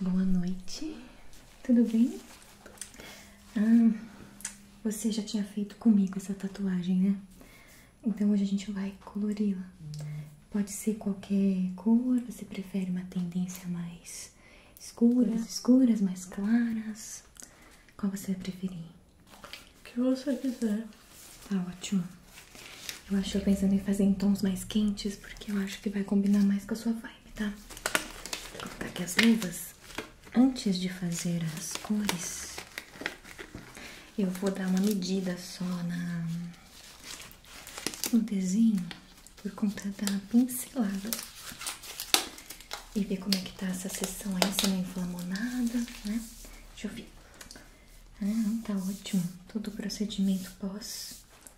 Boa noite, tudo bem? Ah, você já tinha feito comigo essa tatuagem, né? Então hoje a gente vai colori-la. Pode ser qualquer cor, você prefere uma tendência mais escura, mais é. escuras, mais claras? Qual você vai preferir? O que você quiser. Tá ótimo. Eu acho que eu pensando em fazer em tons mais quentes, porque eu acho que vai combinar mais com a sua vibe, tá? Vou colocar aqui as luvas. Antes de fazer as cores, eu vou dar uma medida só na no desenho por conta da pincelada e ver como é que está essa seção aí, se não inflamou nada, né? Deixa eu ver. Ah, tá ótimo. Todo o procedimento pós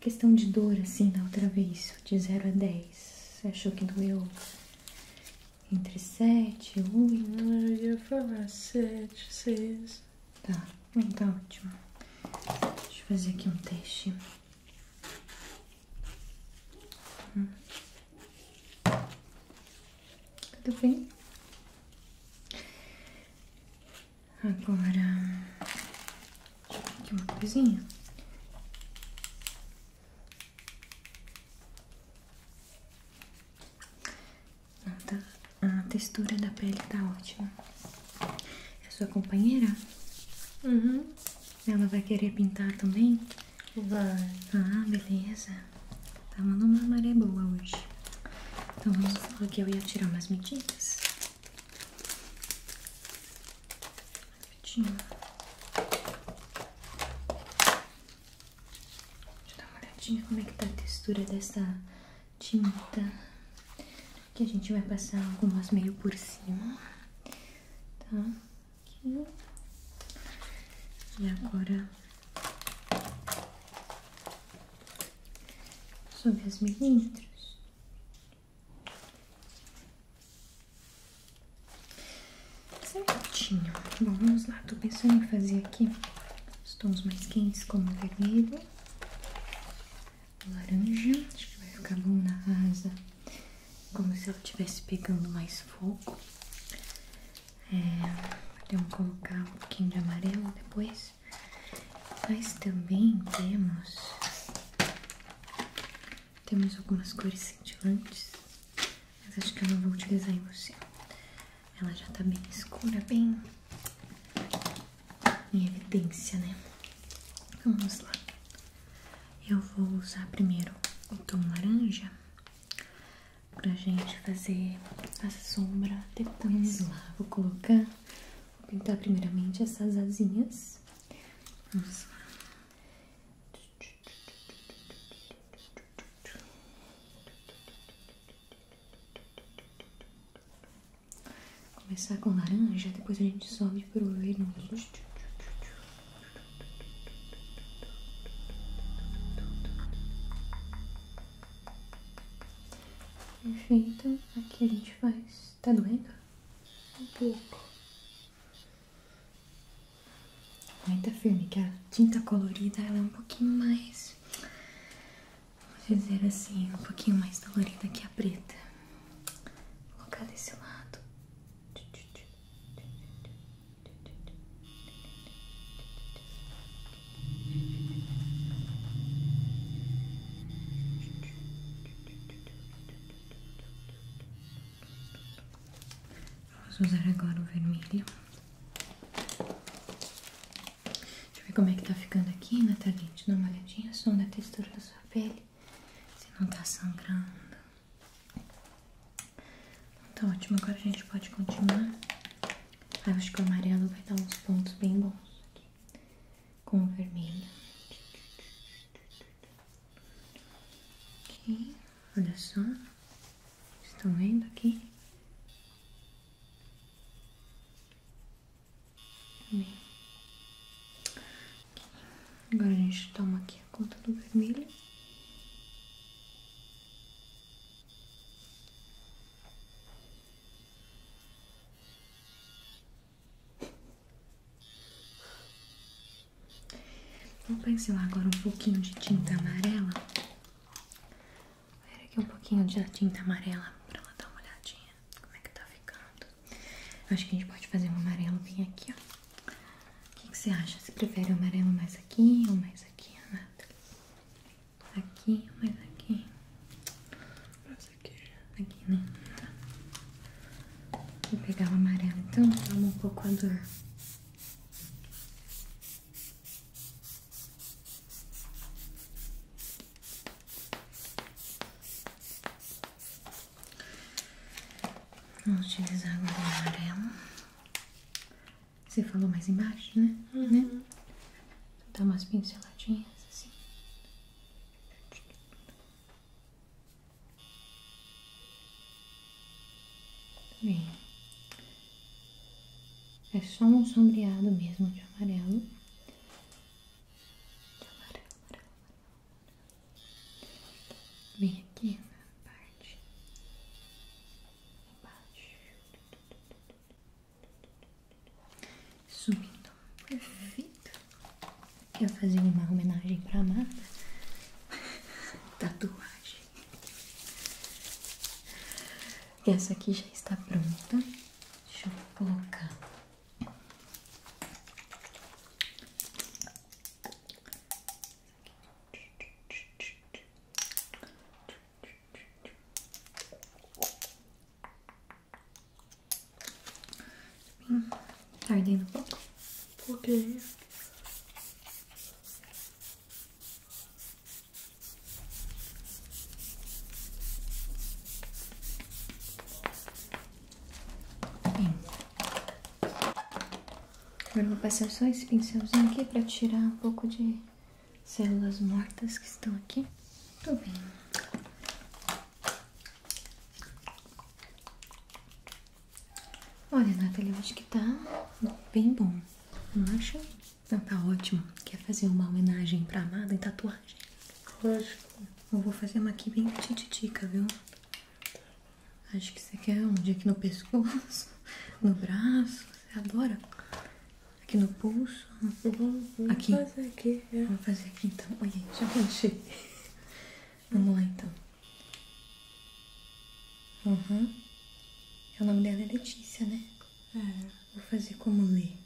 Questão de dor, assim, da outra vez, de 0 a 10. Você achou que doeu entre 7 e não Eu ia falar 7, 6. Tá, tá ótimo. Deixa eu fazer aqui um teste. Hum. Tudo bem? Agora Aqui uma coisinha. Nota, a textura da pele tá ótima. É sua companheira? Uhum. Ela vai querer pintar também? Vai. Ah, beleza. tava tá numa maré boa hoje. Então vamos eu ia tirar umas medidas rapidinho. dar uma olhadinha como é que tá a textura dessa tinta. Que a gente vai passar algumas meio por cima. Tá? E agora... Sobre as milímetros. Certinho. Bom, vamos lá. Tô pensando em fazer aqui os tons mais quentes, como vermelho, laranja. Acho que vai ficar bom na asa, como se eu estivesse pegando mais fogo. É, podemos colocar um pouquinho de amarelo depois. Mas também temos temos algumas cores cintilantes, mas acho que eu não vou utilizar em você. Ela já tá bem escura, bem em evidência, né? vamos lá. Eu vou usar primeiro o tom laranja pra gente fazer a sombra depois. Vamos lá, vou colocar Vou pintar primeiramente essas asinhas. Vamos Começar com laranja, depois a gente sobe pro vermelho. Perfeito, aqui a gente faz Tá doendo? Um pouco. Aguenta tá firme, que a tinta colorida ela é um pouquinho mais. Vamos dizer assim, um pouquinho mais colorida que a preta. Vou colocar desse lado. Tá Posso usar agora o vermelho. Deixa eu ver como é que tá ficando aqui, Nathalie. Dá uma olhadinha só na textura da sua pele. Se não tá sangrando. Então tá ótimo. Agora a gente pode continuar. Ah, acho que o amarelo vai dar uns pontos bem bons aqui com vermelho. Aqui, olha só. Estão vendo aqui? Agora a gente toma aqui a conta do vermelho. Vou pincelar agora um pouquinho de tinta amarela. Vou ver aqui um pouquinho de tinta amarela pra ela dar uma olhadinha como é que tá ficando. acho que a gente pode fazer um amarelo bem aqui, ó. O que, que você acha? Você prefere o amarelo mais aqui ou mais aqui, Renata? Aqui, mas aqui. aqui. Aqui, né? Tá. Vou pegar o amarelo então, calma um pouco a dor. Vamos utilizar agora o amarelo. Você falou mais embaixo, né? Uhum. né? Dá umas pinceladinhas assim. Bem, é só um sombreado mesmo de amarelo. De amarelo, amarelo, amarelo. Bem aqui na parte embaixo. Sumindo, perfeito. Eu fazer uma homenagem pra Amada. Tatuagem. Essa aqui já está pronta. Deixa Tá ardendo um pouco. Porque... Agora eu vou passar só esse pincelzinho aqui para tirar um pouco de células mortas que estão aqui. Tô vendo. Olha, Nathalie, acho que tá bem bom, não acha? Não, tá ótimo. Quer fazer uma homenagem pra amada em tatuagem? Lógico. Eu vou fazer uma aqui bem tititica, viu? Acho que você quer um dia Aqui no pescoço, no braço, você adora. Aqui no pulso. aqui. É. vou fazer aqui então. Olha aí, já planchei. Vamos lá então. Uhum. É o nome dela é Letícia, né? É. Vou fazer como ler.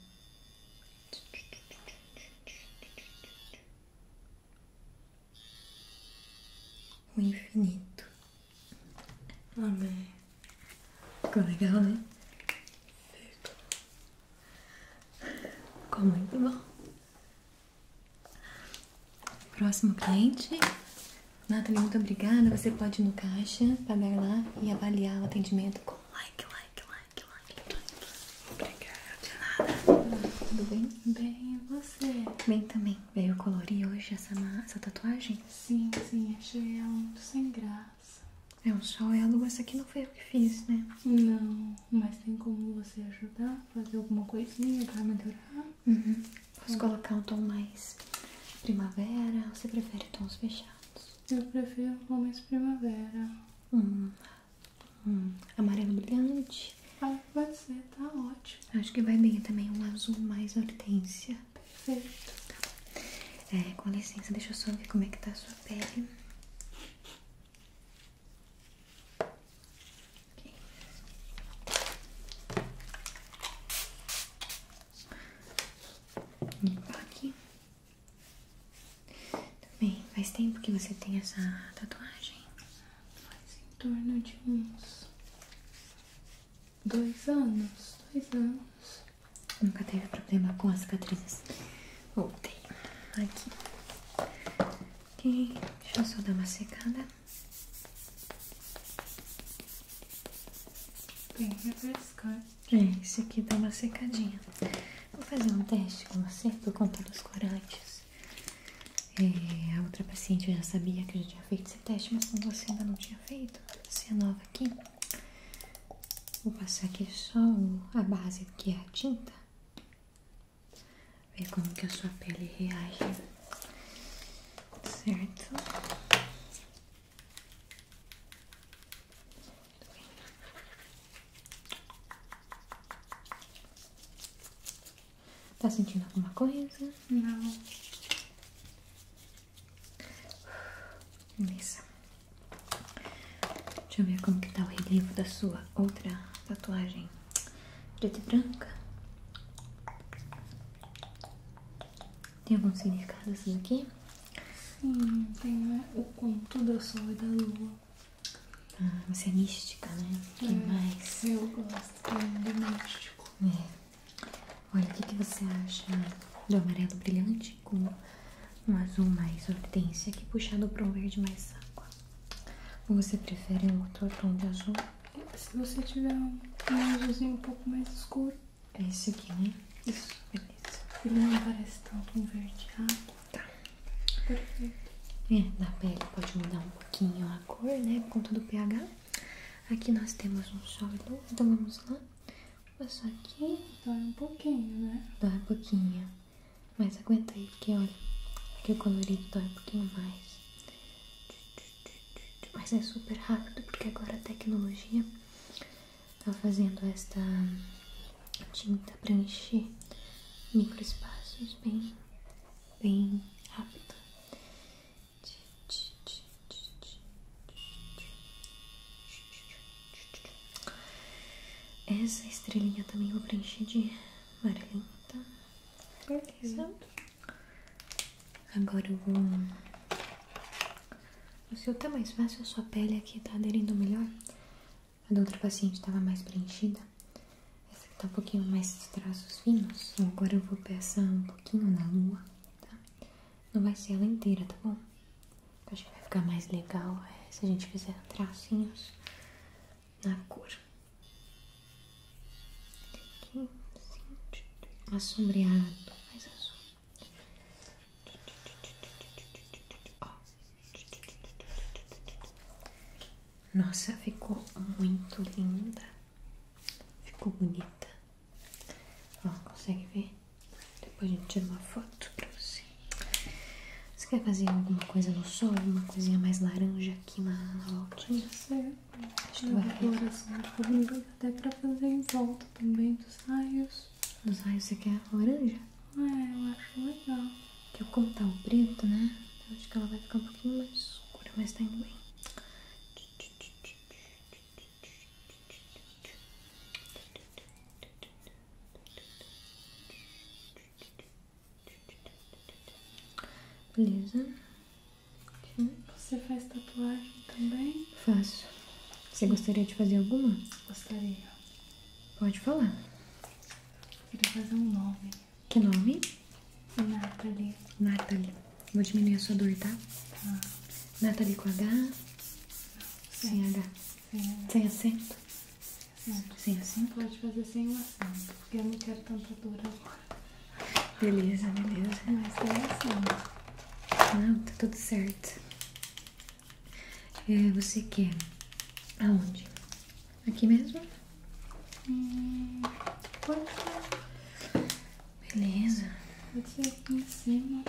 O infinito. Amém. Ficou legal, né? Ficou muito bom. Próximo cliente. Nathalie, muito obrigada. Você pode ir no caixa, pagar lá e avaliar o atendimento com like, like, like, like, Obrigada. De nada. Tudo bem? Bem, e você? Bem também. Veio colorir hoje essa, tatuagem? Sim, sim, achei ela muito sem graça. É, um sol é a lua, essa aqui não foi o que fiz, né? Não, mas tem como você ajudar, fazer alguma coisinha pra melhorar? Uhum. Posso é. colocar um tom mais primavera ou você prefere tons fechados? Eu prefiro um mais primavera. Hum, hum. Amarelo brilhante? Ah, pode ser, tá ótimo. Acho que vai bem também um azul mais hortênsia. É, com licença, deixa eu só ver como é que tá a sua pele. Okay. Limpar tá aqui. Também, faz tempo que você tem essa tatuagem? Faz em torno de uns Dois anos, dois anos. Nunca teve problema com as cicatrizes. Voltei. Aqui. Ok, deixa eu só dar uma secada. Bem é refrescante. É, aqui dá uma secadinha. Vou fazer um teste com você por conta dos corantes. É, a outra paciente já sabia que eu já tinha feito esse teste, mas como você ainda não tinha feito, você é nova aqui. Vou passar aqui só a base que é a tinta. Ver como que a sua pele reage. Certo? Tá sentindo alguma coisa? Não. Beleza. Deixa eu ver como que tá o relevo da sua outra tatuagem preta e branca. Tem algum significado assim aqui? Sim, tem né? o conto da sol e da lua. Ah, você é mística, né? O que é, mais? Eu gosto do é México. É. Olha, o que, você acha do amarelo brilhante com um azul mais hortência que puxado para um verde mais água? Ou você prefere um outro tom de azul? É, se você tiver um, azulzinho um pouco mais escuro. É esse aqui, né? Isso. Beleza. Ele não parece tanto um verde água. Tá. Perfeito. É, da pele pode mudar um pouquinho a cor, né? Por conta do pH. Aqui nós temos um sol então vamos lá. Passar aqui. Dói um pouquinho, né? Dói um pouquinho. Mas aguenta aí, porque olha, aqui o colorido dói um pouquinho mais. Mas é super rápido, porque agora a tecnologia está fazendo esta tinta para encher microespaços bem, bem rápido. Essa estrelinha também vou preencher de amarelinho, tá? Beleza. Agora eu vou. O seu tá mais fácil, a sua pele aqui tá aderindo melhor. A da outra paciente estava mais preenchida. Essa aqui tá um pouquinho mais os traços finos. Então, agora eu vou passar um pouquinho na lua, tá? Não vai ser ela inteira, tá bom? acho que vai ficar mais legal é, se a gente fizer tracinhos na cor. Aqui, assim, mais azul. Ó. Nossa, ficou muito linda. Ficou bonita. Ó, consegue ver? Depois a gente tira uma foto pra você. Você quer fazer alguma coisa no sol? Uma coisinha mais laranja aqui na, na voltinha? Certo. Acho que vai ficar. Até pra fazer em volta também dos raios. Dos raios você quer laranja? É, eu acho legal que eu contar o tá preto, né? acho que ela vai ficar um pouquinho mais escura, mas tá indo bem. Beleza. Você faz tatuagem também? Faço. Você gostaria de fazer alguma? Gostaria. Pode falar. Eu queria fazer um nome. Que nome? Nathalie. Nathalie. Vou diminuir a sua dor, tá? Tá. Ah. Nathalie com H? Não, sem, H. Sem acento? Sem acento? Pode fazer sem o acento, porque eu não quero tanta dor agora. Beleza, beleza. Mas sem acento. Não, tá tudo certo. É, você quer aonde? Aqui mesmo? Hum, Beleza. Pode ser aqui em cima.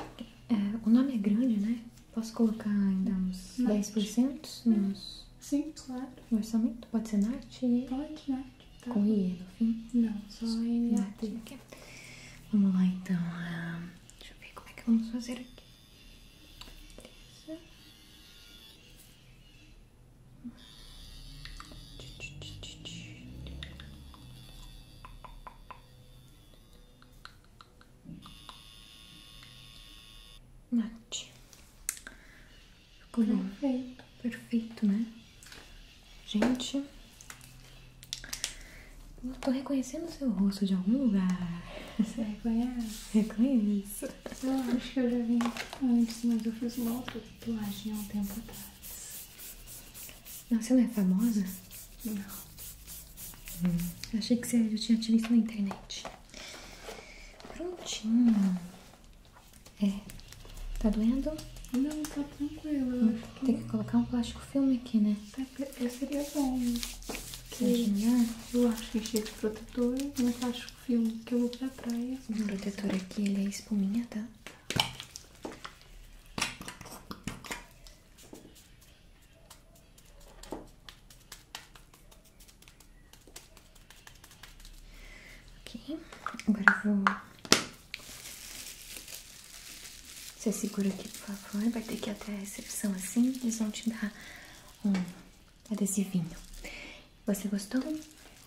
É, o nome é grande, né? Posso colocar ainda uns Nath. 10% nos... Sim, claro. No orçamento? Pode ser Nath? Pode, Nath. Tá. Com I no fim? Não, só N. É Nath. Vamos lá, então. Ah, deixa eu ver como é que vamos fazer aqui. Beleza. Mate. Ficou bom. Né? Perfeito. Perfeito, né? Gente. Eu tô reconhecendo o seu rosto de algum lugar. Você reconhece? Reconheço. Eu acho que eu já vim antes, mas eu fiz uma outra tatuagem há um tempo atrás. Não, você não é famosa? Não. Hum. achei que você já tinha tido isso na internet. Prontinho. É. Tá doendo? Não, tá tranquilo. Hum, tem que colocar um plástico filme aqui, né? Tá, é, seria é bom. Que... Eu acho que enchi de protetor, mas acho que o filme que eu vou pra praia. O protetor aqui, ele é espuminha, tá? Ok, agora eu vou. Você segura aqui, por favor. Vai ter que ir até a recepção assim. Eles vão te dar um adesivinho. É você gostou?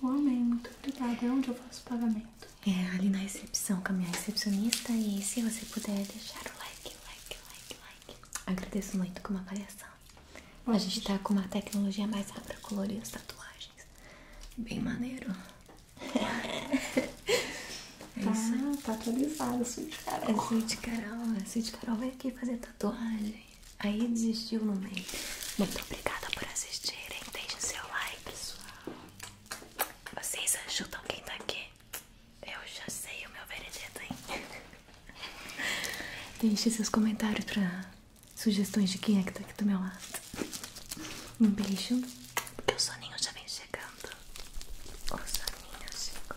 O amei, muito obrigada. É onde eu faço pagamento? É ali na recepção com a minha recepcionista. E se você puder deixar o like, like, like, like. Agradeço muito com uma avaliação. a gente deixar. tá com uma tecnologia mais rápida para colorir as tatuagens. Bem maneiro. é tá, tá atualizada a Sweet Carol. A é Sweet Carol, a é Sweet Carol vai aqui fazer tatuagem, aí desistiu no meio. Muito obrigada por assistirem, deixem seu like, pessoal. Vocês ajudam quem tá aqui? Eu já sei o meu veredito, hein? Deixe seus comentários para sugestões de quem é que tá aqui do meu lado. Um beijo, porque o soninho já vem chegando. O soninho chegou.